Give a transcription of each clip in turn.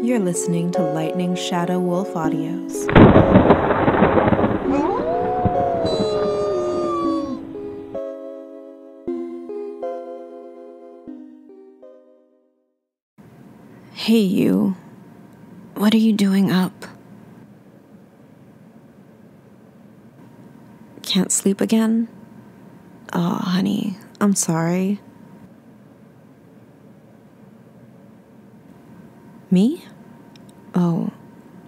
You're listening to Lightning Shadow Wolf Audios. Hey, you. What are you doing up? Can't sleep again? Oh, honey, I'm sorry. Me? Oh,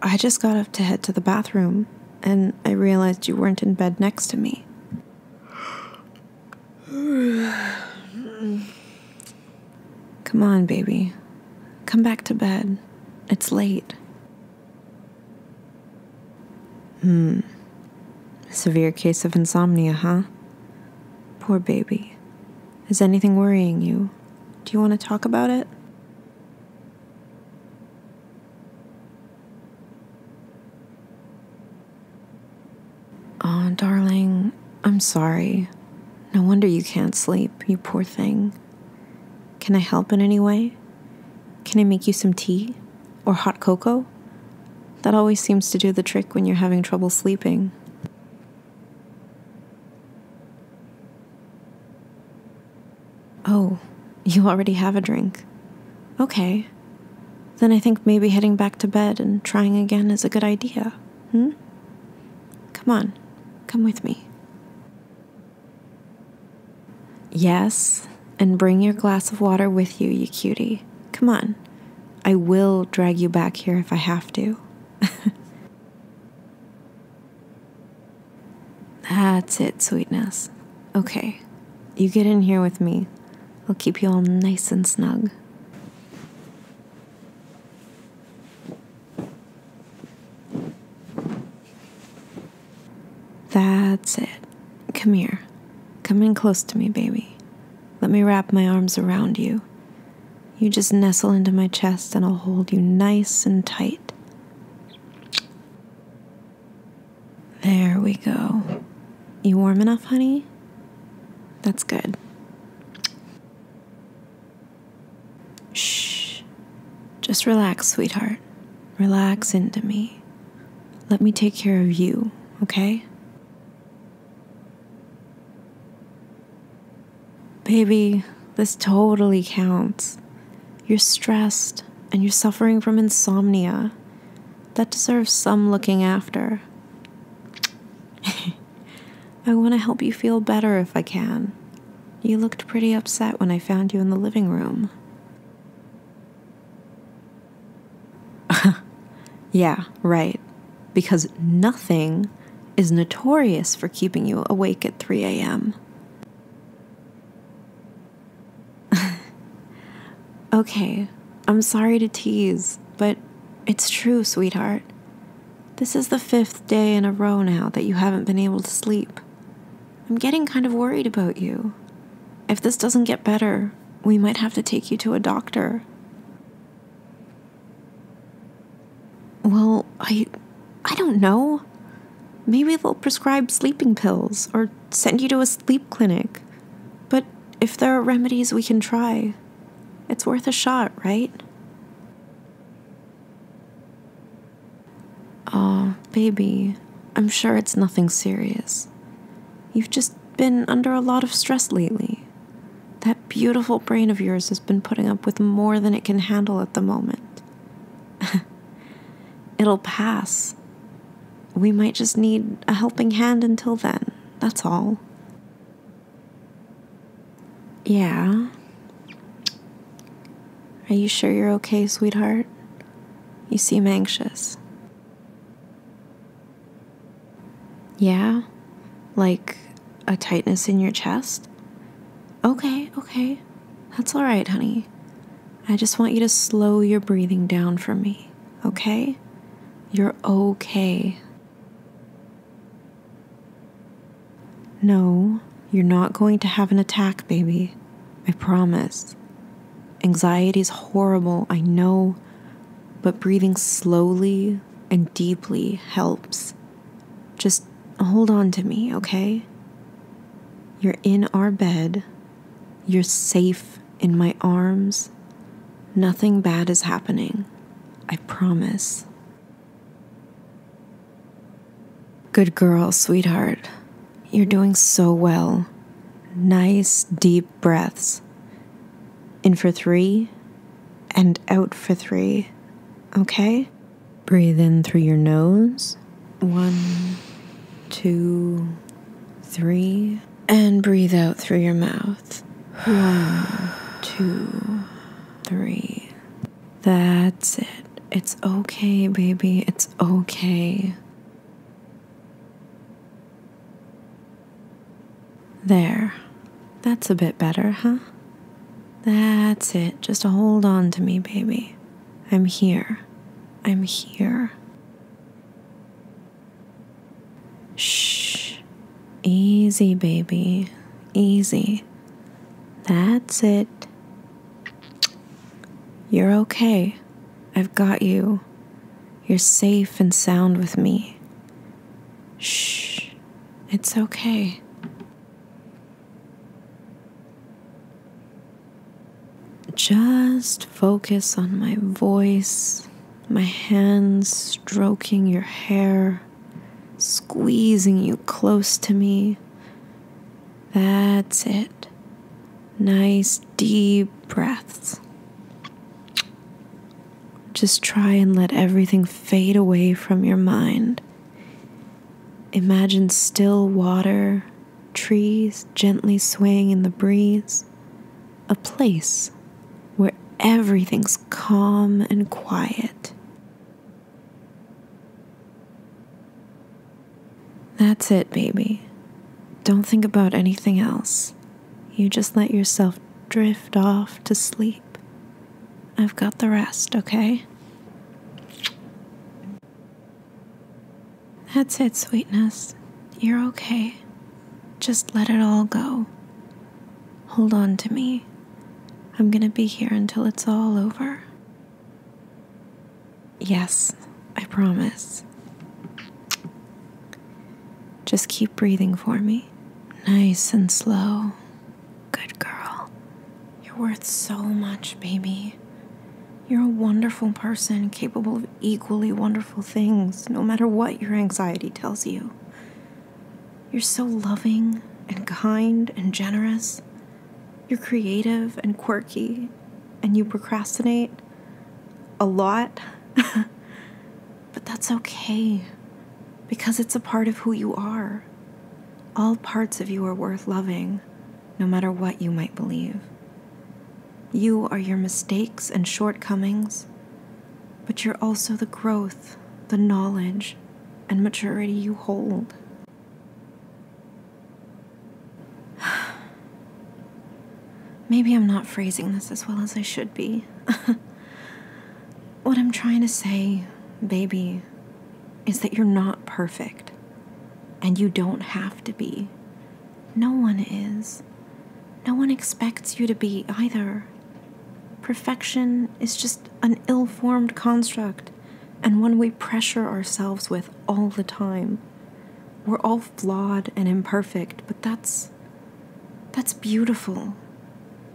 I just got up to head to the bathroom and I realized you weren't in bed next to me. Come on, baby. Come back to bed. It's late. Hmm severe case of insomnia, huh? Poor baby. Is anything worrying you? Do you want to talk about it? Oh, darling, I'm sorry. No wonder you can't sleep, you poor thing. Can I help in any way? Can I make you some tea? Or hot cocoa? That always seems to do the trick when you're having trouble sleeping. Oh, you already have a drink. Okay. Then I think maybe heading back to bed and trying again is a good idea, hmm? Come on, come with me. Yes, and bring your glass of water with you, you cutie. Come on, I will drag you back here if I have to. That's it, sweetness. Okay, you get in here with me. I'll keep you all nice and snug. That's it. Come here. Come in close to me, baby. Let me wrap my arms around you. You just nestle into my chest and I'll hold you nice and tight. There we go. You warm enough, honey? That's good. Shh. Just relax, sweetheart. Relax into me. Let me take care of you, okay? Baby, this totally counts. You're stressed and you're suffering from insomnia. That deserves some looking after. I want to help you feel better if I can. You looked pretty upset when I found you in the living room. yeah, right. Because nothing is notorious for keeping you awake at 3 a.m. okay, I'm sorry to tease, but it's true, sweetheart. This is the fifth day in a row now that you haven't been able to sleep. I'm getting kind of worried about you. If this doesn't get better, we might have to take you to a doctor. Well, I I don't know. Maybe they'll prescribe sleeping pills or send you to a sleep clinic. But if there are remedies we can try, it's worth a shot, right? Oh, baby, I'm sure it's nothing serious. You've just been under a lot of stress lately. That beautiful brain of yours has been putting up with more than it can handle at the moment. It'll pass. We might just need a helping hand until then, that's all. Yeah. Are you sure you're okay, sweetheart? You seem anxious. Yeah? Like a tightness in your chest? Okay, okay. That's all right, honey. I just want you to slow your breathing down for me, okay? You're okay. No, you're not going to have an attack, baby. I promise. Anxiety is horrible, I know, but breathing slowly and deeply helps. Just hold on to me, okay? You're in our bed. You're safe in my arms. Nothing bad is happening. I promise. Good girl, sweetheart. You're doing so well. Nice, deep breaths. In for three and out for three, okay? Breathe in through your nose. One, two, three. And breathe out through your mouth. One, two, three. That's it. It's okay, baby. It's okay. There. That's a bit better, huh? That's it. Just hold on to me, baby. I'm here. I'm here. Shh. Easy, baby. Easy. That's it. You're okay. I've got you. You're safe and sound with me. Shh, it's okay. Just focus on my voice, my hands stroking your hair, squeezing you close to me. That's it nice deep breaths. Just try and let everything fade away from your mind. Imagine still water, trees gently swaying in the breeze, a place where everything's calm and quiet. That's it, baby. Don't think about anything else. You just let yourself drift off to sleep. I've got the rest, okay? That's it, sweetness. You're okay. Just let it all go. Hold on to me. I'm gonna be here until it's all over. Yes, I promise. Just keep breathing for me. Nice and slow. Good girl. You're worth so much, baby. You're a wonderful person, capable of equally wonderful things, no matter what your anxiety tells you. You're so loving and kind and generous. You're creative and quirky, and you procrastinate, a lot, but that's okay because it's a part of who you are. All parts of you are worth loving, no matter what you might believe. You are your mistakes and shortcomings, but you're also the growth, the knowledge, and maturity you hold. Maybe I'm not phrasing this as well as I should be. what I'm trying to say, baby, is that you're not perfect. And you don't have to be. No one is. No one expects you to be either. Perfection is just an ill formed construct and one we pressure ourselves with all the time. We're all flawed and imperfect, but that's that's beautiful.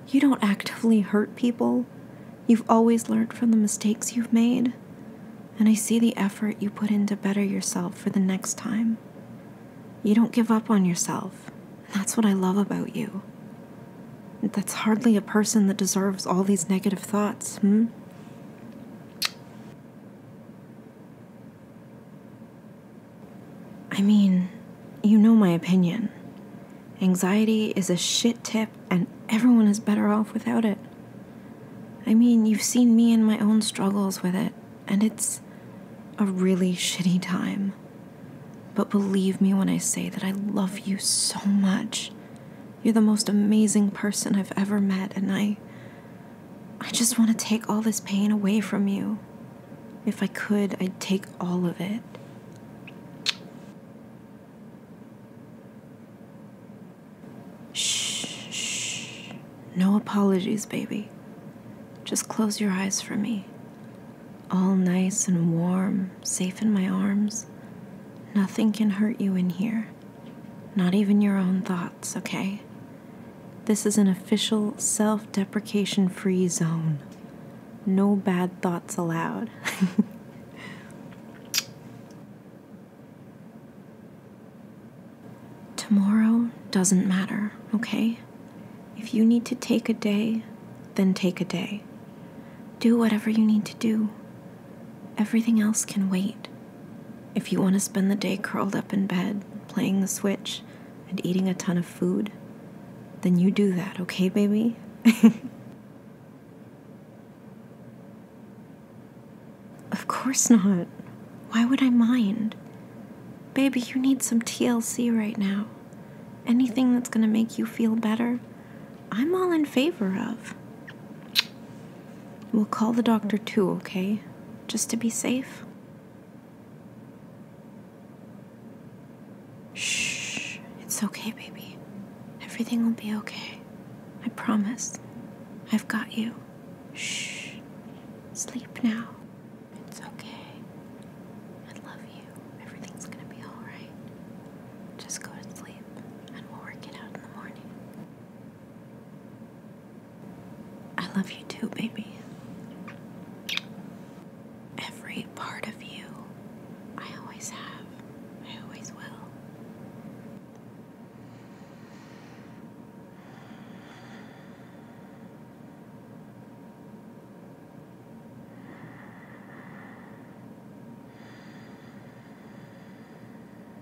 You don't actively hurt people. You've always learned from the mistakes you've made, and I see the effort you put in to better yourself for the next time. You don't give up on yourself, that's what I love about you. That's hardly a person that deserves all these negative thoughts, hmm? I mean, you know my opinion. Anxiety is a shit tip, and everyone is better off without it. I mean, you've seen me and my own struggles with it, and it's a really shitty time. But believe me when I say that I love you so much. You're the most amazing person I've ever met, and I. I just want to take all this pain away from you. If I could, I'd take all of it. Shh, No apologies, baby. Just close your eyes for me. All nice and warm, safe in my arms. Nothing can hurt you in here. Not even your own thoughts, okay? This is an official self deprecation free zone. No bad thoughts allowed. Tomorrow doesn't matter, okay? If you need to take a day, then take a day. Do whatever you need to do. Everything else can wait. If you want to spend the day curled up in bed, playing the Switch, and eating a ton of food, then you do that, okay, baby? of course not. Why would I mind? Baby, you need some TLC right now. Anything that's going to make you feel better, I'm all in favor of. We'll call the doctor too, okay? Just to be safe. Shh, it's okay, baby. Everything will be okay. I promise. I've got you. Shh, sleep now. It's okay. I love you. Everything's gonna be alright. Just go to sleep and we'll work it out in the morning. I love you too, baby. Every part of you I always have, I always will.